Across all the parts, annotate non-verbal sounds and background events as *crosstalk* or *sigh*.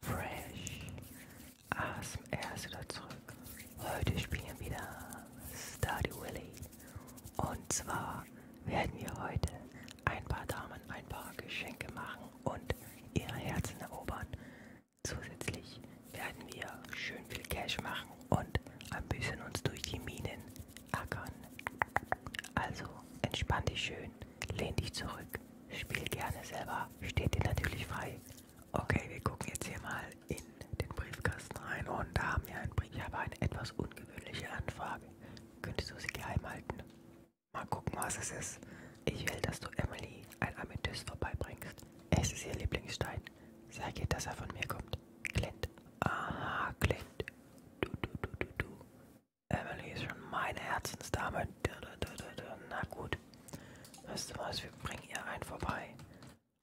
Fresh ASMR ist wieder zurück. Heute spielen wir wieder Stardew Valley. Und zwar werden wir heute ein paar Damen ein paar Geschenke machen und ihre Herzen erobern. Zusätzlich werden wir schön viel Cash machen und ein bisschen uns durch die Minen ackern. Also entspann dich schön Lehn dich zurück. Spiel gerne selber. Steht dir natürlich frei. Okay, wir gucken jetzt hier mal in den Briefkasten rein und da haben wir einen Brief. Ich habe eine etwas ungewöhnliche Anfrage. Könntest du sie geheim halten? Mal gucken, was es ist. Ich will, dass du Emily ein Amethyst vorbeibringst. Es ist ihr Lieblingsstein. Sag ihr, dass er von mir kommt. Clint. Aha, Clint. Du, du, du, du, du. Emily ist schon meine Herzensdame. Na gut. Weißt du was, wir bringen ihr einen vorbei.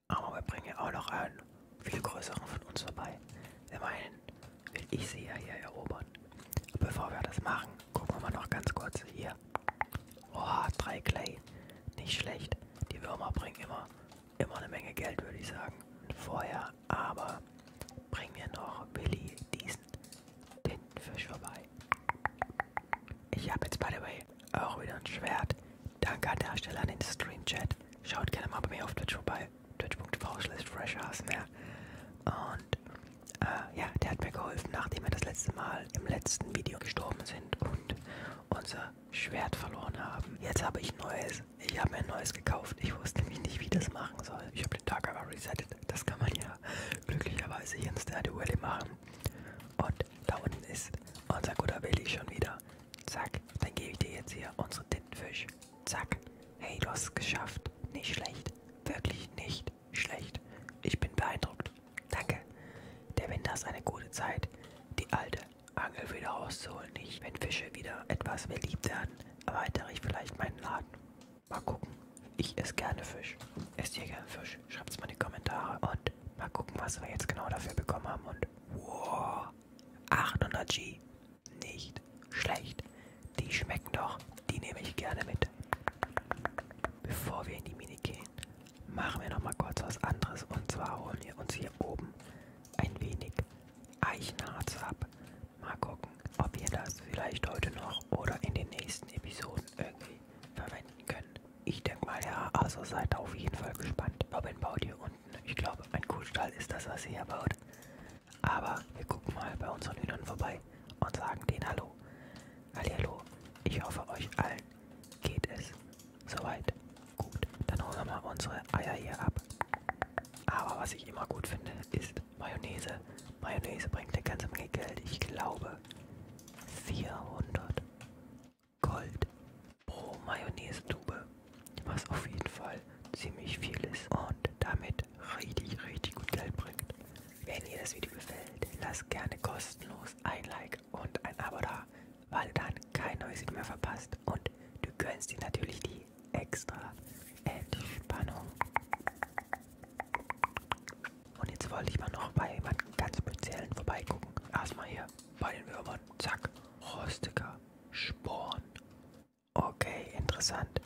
Aber wir bringen ihr auch noch einen viel größeren von uns vorbei. Immerhin will ich sie ja hier erobern. Bevor wir das machen, gucken wir mal noch ganz kurz hier. Oha, drei Clay. Nicht schlecht. Die Würmer bringen immer, immer eine Menge Geld, würde ich sagen. Vorher aber bringen wir noch Billy diesen den Fisch vorbei. Ich habe jetzt, by the way, auch wieder ein Schwert. Danke an der Stelle an den Stream-Chat. Schaut gerne mal bei mir auf Twitch vorbei. Twitch.tv slash freshasmer. Ne? Und äh, ja, der hat mir geholfen, nachdem wir das letzte Mal im letzten Video gestorben sind und unser Schwert verloren haben. Jetzt habe ich neues. Ich habe mir ein neues gekauft. Ich wusste nämlich nicht, wie das machen soll. Ich habe den Tag aber reset startet. Das kann man ja glücklicherweise hier in Stardew Valley machen. Und da unten ist unser guter Willi schon wieder. Zack, dann gebe ich dir jetzt hier unseren Tintenfisch. Zack. Hey, du hast es geschafft. Nicht schlecht. Wirklich nicht schlecht. Ich bin beeindruckt. Danke. Der Winter ist eine gute Zeit, die alte Angel wieder rauszuholen. Ich, wenn Fische wieder etwas beliebter werden, erweitere ich vielleicht meinen Laden. Mal gucken. Ich esse gerne Fisch. Esst ihr gerne Fisch? Schreibt es mal in die Kommentare. Und mal gucken, was wir jetzt genau dafür bekommen haben. Und wow, 800 G. Nicht schlecht. Die schmecken doch. Die nehme ich gerne mit. Bevor wir in die Mine gehen, machen wir nochmal kurz was anderes. Und zwar holen wir uns hier oben ein wenig Eichenharz ab. Mal gucken, ob wir das vielleicht heute noch oder in den nächsten Episoden irgendwie verwenden können. Ich denke mal ja, also seid auf jeden Fall gespannt. Robin baut hier unten, ich glaube, ein Kuhstall ist das, was sie hier baut. Aber wir gucken mal bei unseren Hühnern vorbei und sagen denen Hallo. Hallihallo, ich hoffe euch allen geht es soweit gut. Dann holen wir mal unsere Eier hier ab. Aber was ich immer gut finde, ist Mayonnaise. Mayonnaise bringt eine ganze Menge Geld. Ich glaube 400 Gold pro Mayonnaise-Tube. Was auf jeden Fall ziemlich viel ist und damit richtig, richtig gut Geld bringt. Wenn dir das Video gefällt, lasst gerne kostenlos ein Like und ein Abo da, weil du dann kein neues Video mehr verpasst und du gönnst dir natürlich die die extra Entspannung. Und jetzt wollte ich mal noch bei jemand ganz speziellen vorbeigucken. Erstmal hier bei den Würmern. Zack. Rostiger Sporn. Okay, interessant.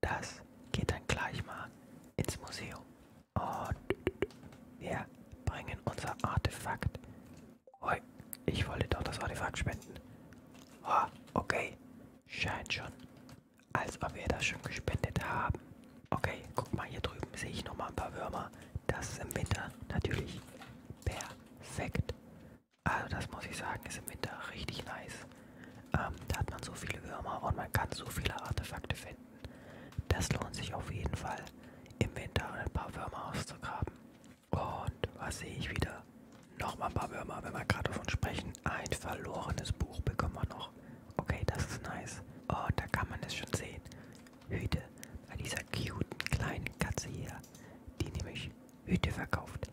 Das geht dann gleich mal ins Museum. Und wir bringen unser Artefakt. Hoi, ich wollte doch das Artefakt spenden. Oh, okay, scheint schon, als ob wir das schon gespendet haben. Okay, guck mal, hier drüben sehe ich nochmal ein paar Würmer. Das ist im Winter natürlich perfekt. Also das muss ich sagen, ist im Winter richtig nice. Ähm, da hat man so viele Würmer und man kann so viele Artefakte finden. Das lohnt sich auf jeden Fall, im Winter ein paar Würmer auszugraben. Und was sehe ich wieder? Nochmal ein paar Würmer, wenn wir gerade davon sprechen. Ein verlorenes Buch bekommen wir noch. Okay, das ist nice. Und oh, da kann man es schon sehen. Hüte. Bei dieser cuten kleinen Katze hier. Die nämlich Hüte verkauft.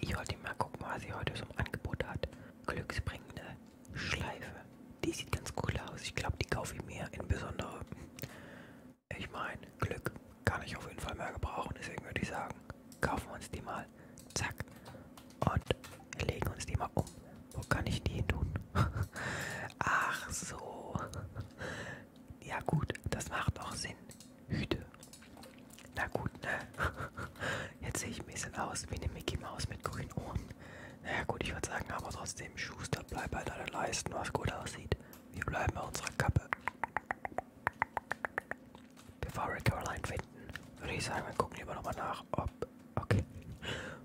Ich wollte mal gucken, was sie heute so im Angebot hat. Glücksbringende Schleife. Die sieht ganz cool aus. Ich glaube, die kaufe ich mir in besonderer ich meine, Glück kann ich auf jeden Fall mehr gebrauchen. Deswegen würde ich sagen, kaufen wir uns die mal. Zack. Und legen uns die mal um. Wo kann ich die hin tun? *laughs* Ach so. Ja gut, das macht auch Sinn. Hüte. Na gut, ne? *laughs* Jetzt sehe ich ein bisschen aus wie eine Mickey Maus mit grünen Ohren. Naja gut, ich würde sagen, aber trotzdem, Schuster, bleib bei deiner Leisten, was gut aussieht. Wir bleiben bei unserer Kappe. Bevor wir Caroline finden, würde ich sagen, wir gucken lieber nochmal nach, ob. Okay.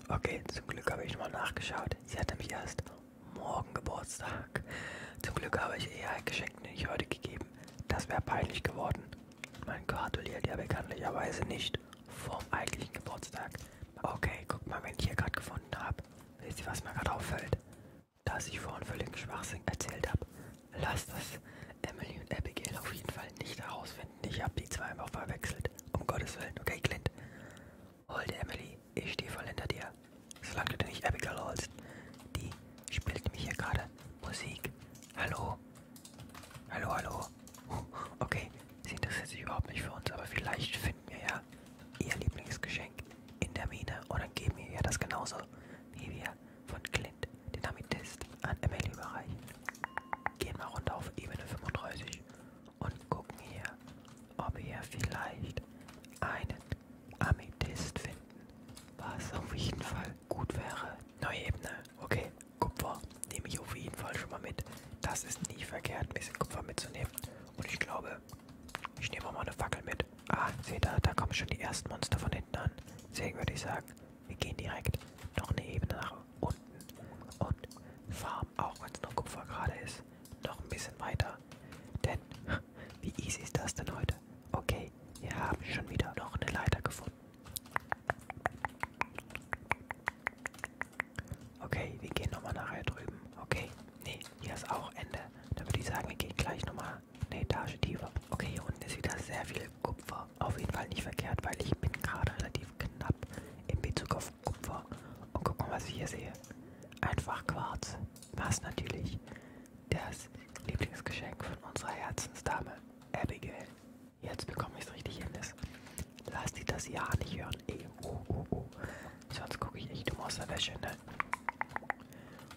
Okay, zum Glück habe ich mal nachgeschaut. Sie hat nämlich erst morgen Geburtstag. Zum Glück habe ich ihr ein Geschenk nicht heute gegeben. Das wäre peinlich geworden. Man gratuliert ja bekanntlicherweise nicht vorm eigentlichen Geburtstag. Okay, guck mal, wenn ich hier gerade gefunden habe. Wisst ihr, was mir gerade auffällt? dass ich vorhin völlig Schwachsinn erzählt habe. Lasst das Emily und Abigail auf jeden Fall nicht herausfinden. Ich habe die zweimal verwechselt. Um Gottes Willen, okay, Clint? Hol die Emily, ich stehe voll hinter dir. Solange du nicht Abigail holst. Die spielt mich hier gerade Musik. Hallo? Hallo, hallo? Okay, sie interessiert sich überhaupt nicht für uns, aber vielleicht finden wir ja ihr Lieblingsgeschenk. Geschenk in der Mine oder geben ihr das genauso wie wir von Clint den Amethyst an Emily überreichen. Gehen wir runter auf Ebene 35 und gucken hier, ob wir vielleicht einen Amethyst finden, was auf jeden Fall gut wäre. Neue Ebene, okay, Kupfer nehme ich auf jeden Fall schon mal mit. Das ist nie verkehrt, ein bisschen Kupfer mitzunehmen. Und ich glaube, ich nehme mal eine Fackel mit. Ah, seht ihr, da kommen schon die ersten Monster von hinten an. Deswegen würde ich sagen, wir gehen direkt noch eine Ebene nach unten und farmen, auch wenn es noch Kupfer gerade ist, noch ein bisschen weiter. Denn, *laughs* wie easy ist das denn heute? Okay, wir haben schon wieder noch eine Leiter gefunden. Okay, wir gehen nochmal nachher drüben. Okay, Ne, hier ist auch Ende. Da würde ich sagen, wir gehen gleich nochmal eine Etage tiefer. Okay, hier unten ist wieder sehr viel Kupfer. Auf jeden Fall nicht verkehrt, weil ich bin gerade relativ knapp in Bezug auf Kupfer. Und guck mal, was ich hier sehe. Einfach Quarz. Was natürlich das Lieblingsgeschenk von unserer Herzensdame Abigail. Jetzt bekomme ich es richtig hin. Lass die das ja nicht hören. Ey, oh, oh, oh. Sonst gucke ich echt um aus der Wäsche, ne?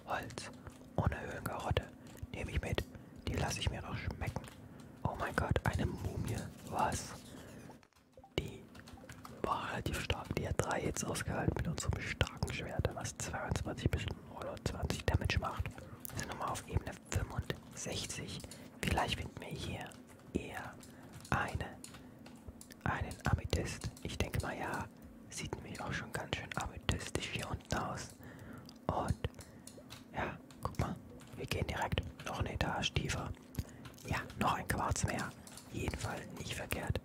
Holz. Ohne Höhlenkarotte. Nehme ich mit. Die lasse ich mir noch schmecken. Oh mein Gott, eine Mumie. Was? Die war relativ stark. Die hat drei Hits ausgehalten mit unserem starken Schwert, was 22 bis 20 Damage macht. Wir sind nochmal auf Ebene 65. Vielleicht finden wir hier eher eine, einen Amethyst. Ich denke mal, ja, sieht nämlich auch schon ganz schön amethystisch hier unten aus. Und ja, guck mal, wir gehen direkt noch eine Etage tiefer. Ja, noch ein Quarz mehr. Jedenfalls nicht verkehrt.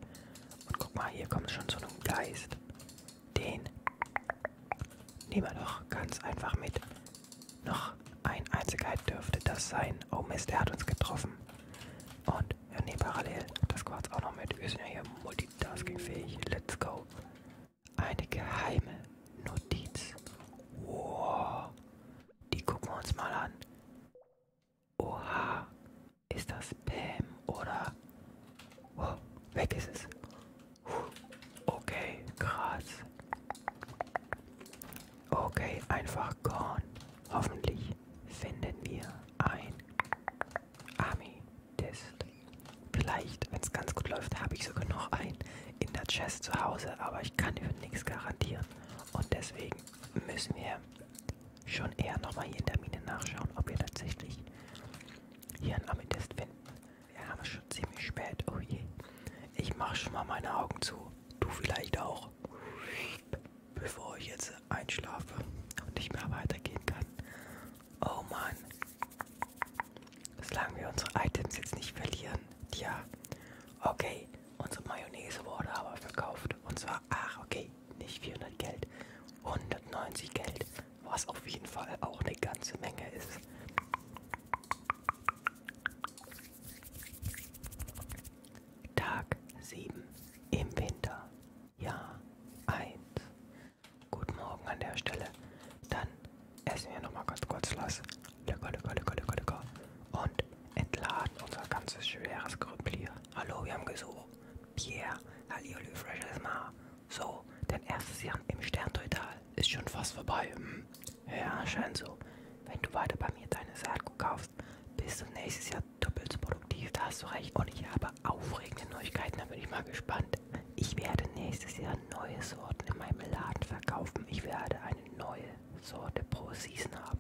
Und guck mal, hier kommt schon so ein Geist. Den nehmen wir doch ganz einfach mit. Noch ein Einzelheit dürfte das sein. Oh Mist, er hat uns getroffen. Und wir nehmen parallel das Quarz auch noch mit. Wir sind ja hier multitaskingfähig. Let's go. Eine geheime Notiz. Wow. Die gucken wir uns mal an. Oha. Ist das Pam oder... Oh, weg ist es. Okay, krass. Okay, einfach Korn. Hoffentlich finden wir ein Army-Test. Vielleicht, wenn es ganz gut läuft, habe ich sogar noch einen in der Chest zu Hause, aber ich kann für nichts garantieren. Und deswegen müssen wir schon eher nochmal hier in der Mine nachschauen, ob wir tatsächlich hier einen Amethyst finden. Wir haben es schon ziemlich spät. Oh je. Ich mache schon mal meine Augen zu du vielleicht auch, bevor ich jetzt einschlafe und nicht mehr weitergehen kann. Oh Mann, solange wir unsere Items jetzt nicht verlieren, tja, okay, unsere Mayonnaise wurde aber verkauft und zwar, ach okay, nicht 400 Geld, 190 Geld, was auf jeden Fall auch eine ganze Menge ist. Tag 7 im Winter, Jahr 1. Guten Morgen an der Stelle. Dann essen wir nochmal ganz kurz was. Lecker, lecker, lecker, lecker, lecker. Und entladen unser ganzes schweres Krüppel hier. Hallo, wir haben gesucht. Pierre, Halliolü, freshes Mar. So, dein erstes Jahr im Sterntotal ist schon fast vorbei. Hm? Ja, scheint so. Wenn du weiter bei mir deine Saatgut kaufst, bist du nächstes Jahr doppelt so produktiv. Da hast du recht. Und ich habe aufregende Neuigkeiten, da bin ich mal gespannt. Ich werde nächstes Jahr neue Sorten in meinem Laden verkaufen. Ich werde eine neue Sorte pro Season haben.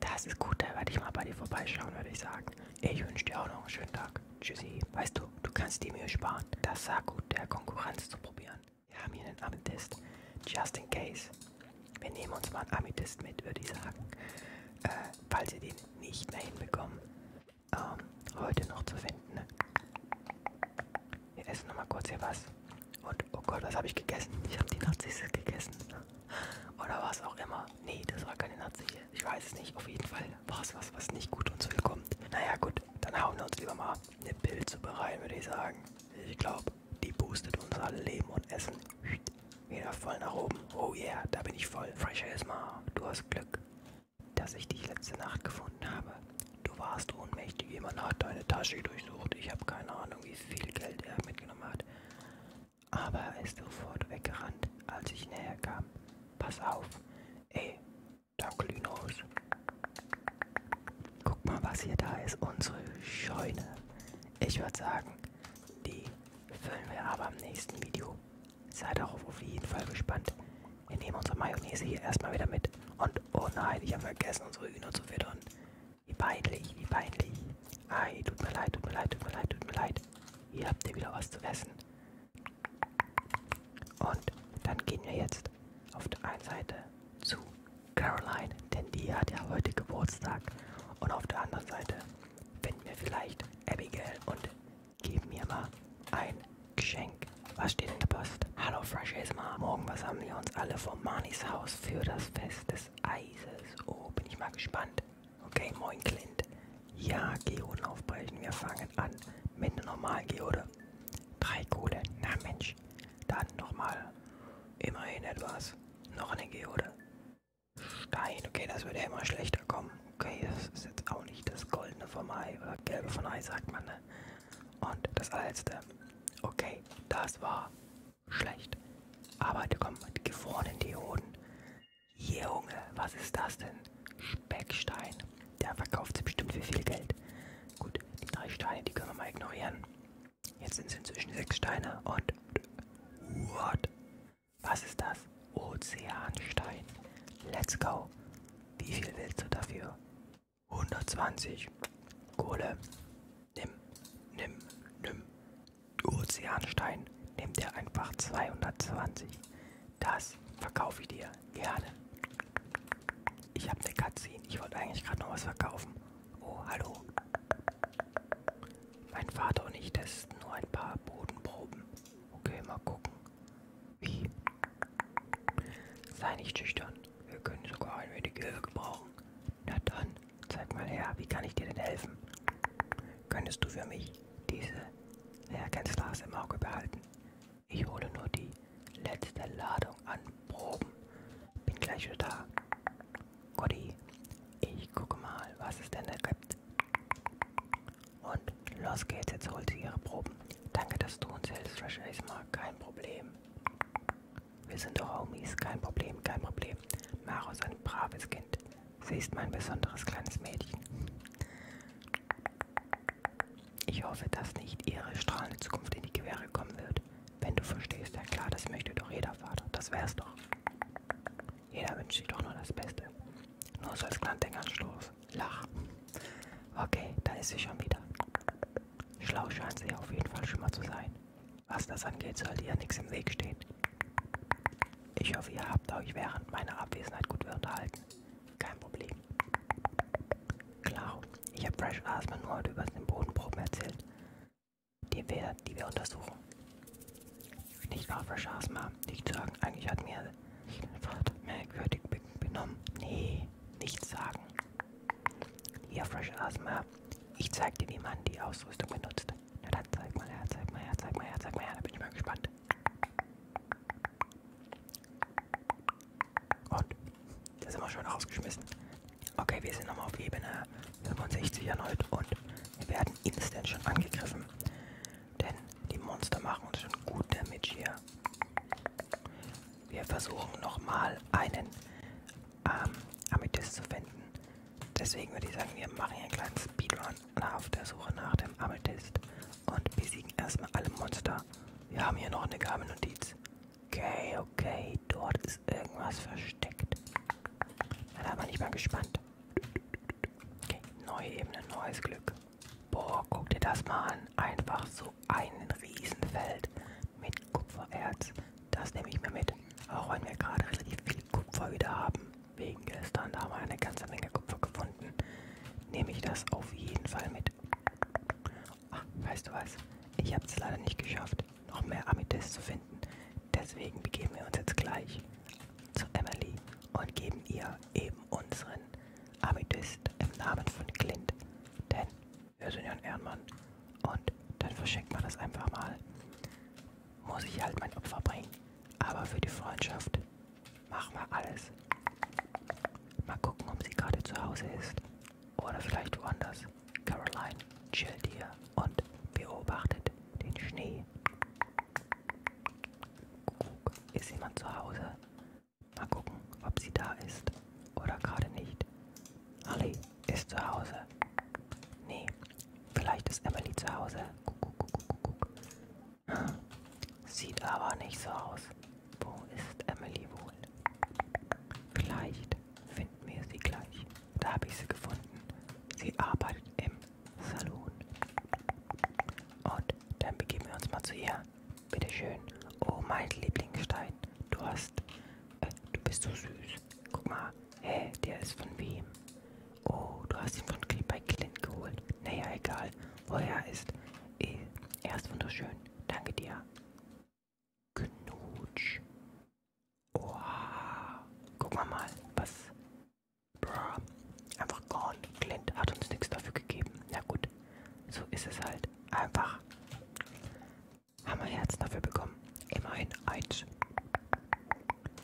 Das ist gut, da werde ich mal bei dir vorbeischauen, würde ich sagen. Ich wünsche dir auch noch einen schönen Tag. Tschüssi. Weißt du, du kannst dir Mühe sparen, das Saatgut der Konkurrenz zu probieren. Wir haben hier einen Amethyst. Just in case. Wir nehmen uns mal einen Amethyst mit, würde ich sagen. Äh, falls ihr den nicht mehr hinbekommen, ähm, heute noch zu finden. Ne? Wir essen nochmal kurz hier was. Und oh Gott, was habe ich gegessen? Ich habe die Nazis gegessen. Oder was auch immer. Nee, das war keine Nazi. Ich weiß es nicht. Auf jeden Fall war es was, was nicht gut uns willkommt. Naja, gut, dann hauen wir uns lieber mal ab eine Pilzsuppe rein, würde ich sagen. Ich glaube, die boostet unser Leben und Essen. Wieder voll nach oben. Oh yeah, da bin ich voll. Fresh Esma, du hast Glück, dass ich dich letzte Nacht gefunden habe. Du warst ohnmächtig, jemand hat deine Tasche durchsucht. Ich habe keine Ahnung, wie viel Geld er mitgenommen hat. Aber er ist sofort weggerannt, als ich näher kam. Pass auf. Ey, Danke, Linus. Guck mal, was hier da ist. Unsere Scheune. Ich würde sagen, die füllen wir aber im nächsten Video. Seid darauf auf jeden Fall gespannt. Wir nehmen unsere Mayonnaise hier erstmal wieder mit. Und oh nein, ich habe vergessen, unsere Hühner zu füttern. Wie peinlich, wie peinlich. Ei, tut mir leid, tut mir leid, tut mir leid, tut mir leid. Hier habt ihr wieder was zu essen. Und dann gehen wir jetzt auf der einen Seite zu Caroline, denn die hat ja heute Geburtstag. Und auf der anderen Seite finden wir vielleicht Abigail und geben mir mal ein Geschenk. Was steht in der Post? Hallo Freshies Mom. Morgen versammeln wir uns alle vor Manis Haus für das Fest des Eises. Oh, bin ich mal gespannt. Okay, moin Clint. Ja, Geoden aufbrechen. Wir fangen an mit einer normalen Geode. Drei Kohle. Na Mensch. Dann nochmal. Immerhin etwas. Noch eine Geode. Stein. Okay, das würde ja immer schlechter kommen. Okay, das ist jetzt auch nicht das goldene vom Ei oder gelbe von Ei, sagt man. Ne? Und das allerletzte. Okay, das war schlecht. Aber da kommen die gefrorenen Dioden. Junge, was ist das denn? Speckstein. Der verkauft sie bestimmt für viel Geld. Gut, die drei Steine, die können wir mal ignorieren. Jetzt sind es inzwischen sechs Steine und... What? Was ist das? Ozeanstein. Let's go. Wie viel willst du dafür? 120. Kohle. Nimm, nimm, nimm. Ozeanstein nimmt er einfach 220. Das verkaufe ich dir gerne. Ich habe eine Cutscene. Ich wollte eigentlich gerade noch was verkaufen. Oh, hallo. Mein Vater und ich testen nur ein paar Bodenproben. Okay, mal gucken. Wie? Sei nicht schüchtern. Wir können sogar ein wenig Hilfe gebrauchen. Na dann, zeig mal her, wie kann ich dir denn helfen? Könntest du für mich diese Lehrgänzglas im Auge behalten? Ich hole nur die letzte Ladung an Proben. Bin gleich wieder da. Gotti, ich gucke mal, was es denn da gibt. Und los geht's, jetzt holt sie ihre Proben. Danke, dass du uns hilfst, Fresh Asmar. Kein Problem. Wir sind doch Homies. Kein Problem, kein Problem. Maro ist ein braves Kind. Sie ist mein besonderes kleines Mädchen. Ich hoffe, dass nicht ihre strahlende Zukunft in die Gewehre kommen wird. Wenn du verstehst, ja klar, das möchte doch jeder Vater. Das wär's doch. Jeder wünscht sich doch nur das Beste. Nur so als kleinen Denkanstoß. Lach. Okay, da ist sie schon wieder. Schlau scheint sie auf jeden Fall schon mal zu sein. Was das angeht, sollte ihr nichts im Weg stehen. Ich hoffe, ihr habt euch während meiner Abwesenheit gut unterhalten. Kein Problem. Klar, ich habe Fresh Asthma nur heute über den Bodenproben erzählt, die wir, die wir untersuchen. Nicht wahr, Fresh Asthma? Nicht sagen, eigentlich hat mir Vater merkwürdig benommen. Nee, nichts sagen. Hier, Fresh Asthma, ich zeig dir, wie man die Ausrüstung benutzt. Na dann zeig mal her, zeig mal her, zeig mal her, zeig mal her, da bin ich mal gespannt. Und das ist immer schön rausgeschmissen. Okay, wir sind nochmal auf Ebene 65 erneut und wir werden instant schon angegriffen. Denn die Monster machen uns schon gut Damage hier. Wir versuchen nochmal einen ähm, Amethyst zu finden. Deswegen würde ich sagen, wir machen hier einen kleinen Speedrun nach auf der Suche nach dem Amethyst und besiegen erstmal alle Monster. Wir haben hier noch eine geheime Notiz. Okay, okay, dort ist irgendwas versteckt. Da bin ich mal gespannt. Okay, neue Ebene, neues Glück. Boah, guck dir das mal an. Einfach so ein Riesenfeld mit Kupfererz. Das nehme ich mir mit. Auch wenn wir gerade relativ viel Kupfer wieder haben wegen gestern. Da haben wir eine ganze Menge Kupfer gefunden. Nehme ich das auf jeden Fall mit. Ach, weißt du was? Ich habe es leider nicht geschafft, noch mehr Amethyst zu finden. Deswegen begeben wir uns jetzt gleich zu Emily und geben ihr eben unseren Amethyst im Namen von Clint. Denn wir sind ja ein Ehrenmann. Und dann verschenkt man das einfach mal muss ich halt mein Opfer bringen. Aber für die Freundschaft machen wir alles. Mal gucken, ob sie gerade zu Hause ist. Oder vielleicht woanders. Caroline chillt hier und beobachtet den Schnee. Guck, ist jemand zu Hause? Mal gucken, ob sie da ist oder gerade nicht. Ali ist zu Hause. Nee, Vielleicht ist Emily zu Hause. Guck, guck, guck, guck, guck. Hm. Sieht aber nicht so aus. Wo ist Emily wohl? Vielleicht finden wir sie gleich. Da habe ich sie gefunden. Sie arbeitet im Salon. Und dann begeben wir uns mal zu ihr. Bitte schön. Oh, mein Lieblingsstein. Du hast. Äh, du bist so süß. Guck mal. Hä, hey, der ist von wem? Oh, du hast ihn von bei Clint geholt. Naja, egal, wo er ist. Eh. Er ist wunderschön. Danke dir. Knutsch. Oha. Guck mal mal, was... Bruh. Einfach gone. Clint hat uns nichts dafür gegeben. Na gut, so ist es halt. Einfach. Haben wir Herzen dafür bekommen. Immerhin eins.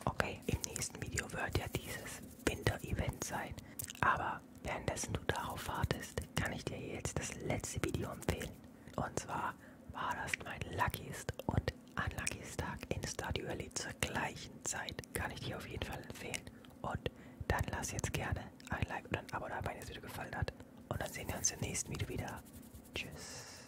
Okay, im nächsten Video wird ja dieses Winter-Event sein. Aber währenddessen du darauf wartest, kann ich dir jetzt das letzte Video empfehlen. Und zwar war das mein luckiest und unluckiest Tag in Stadio Valley zur gleichen Zeit. Kann ich dir auf jeden Fall empfehlen. Und dann lass jetzt gerne ein Like und ein Abo da, wenn dir das Video gefallen hat. Und dann sehen wir uns im nächsten Video wieder. Tschüss.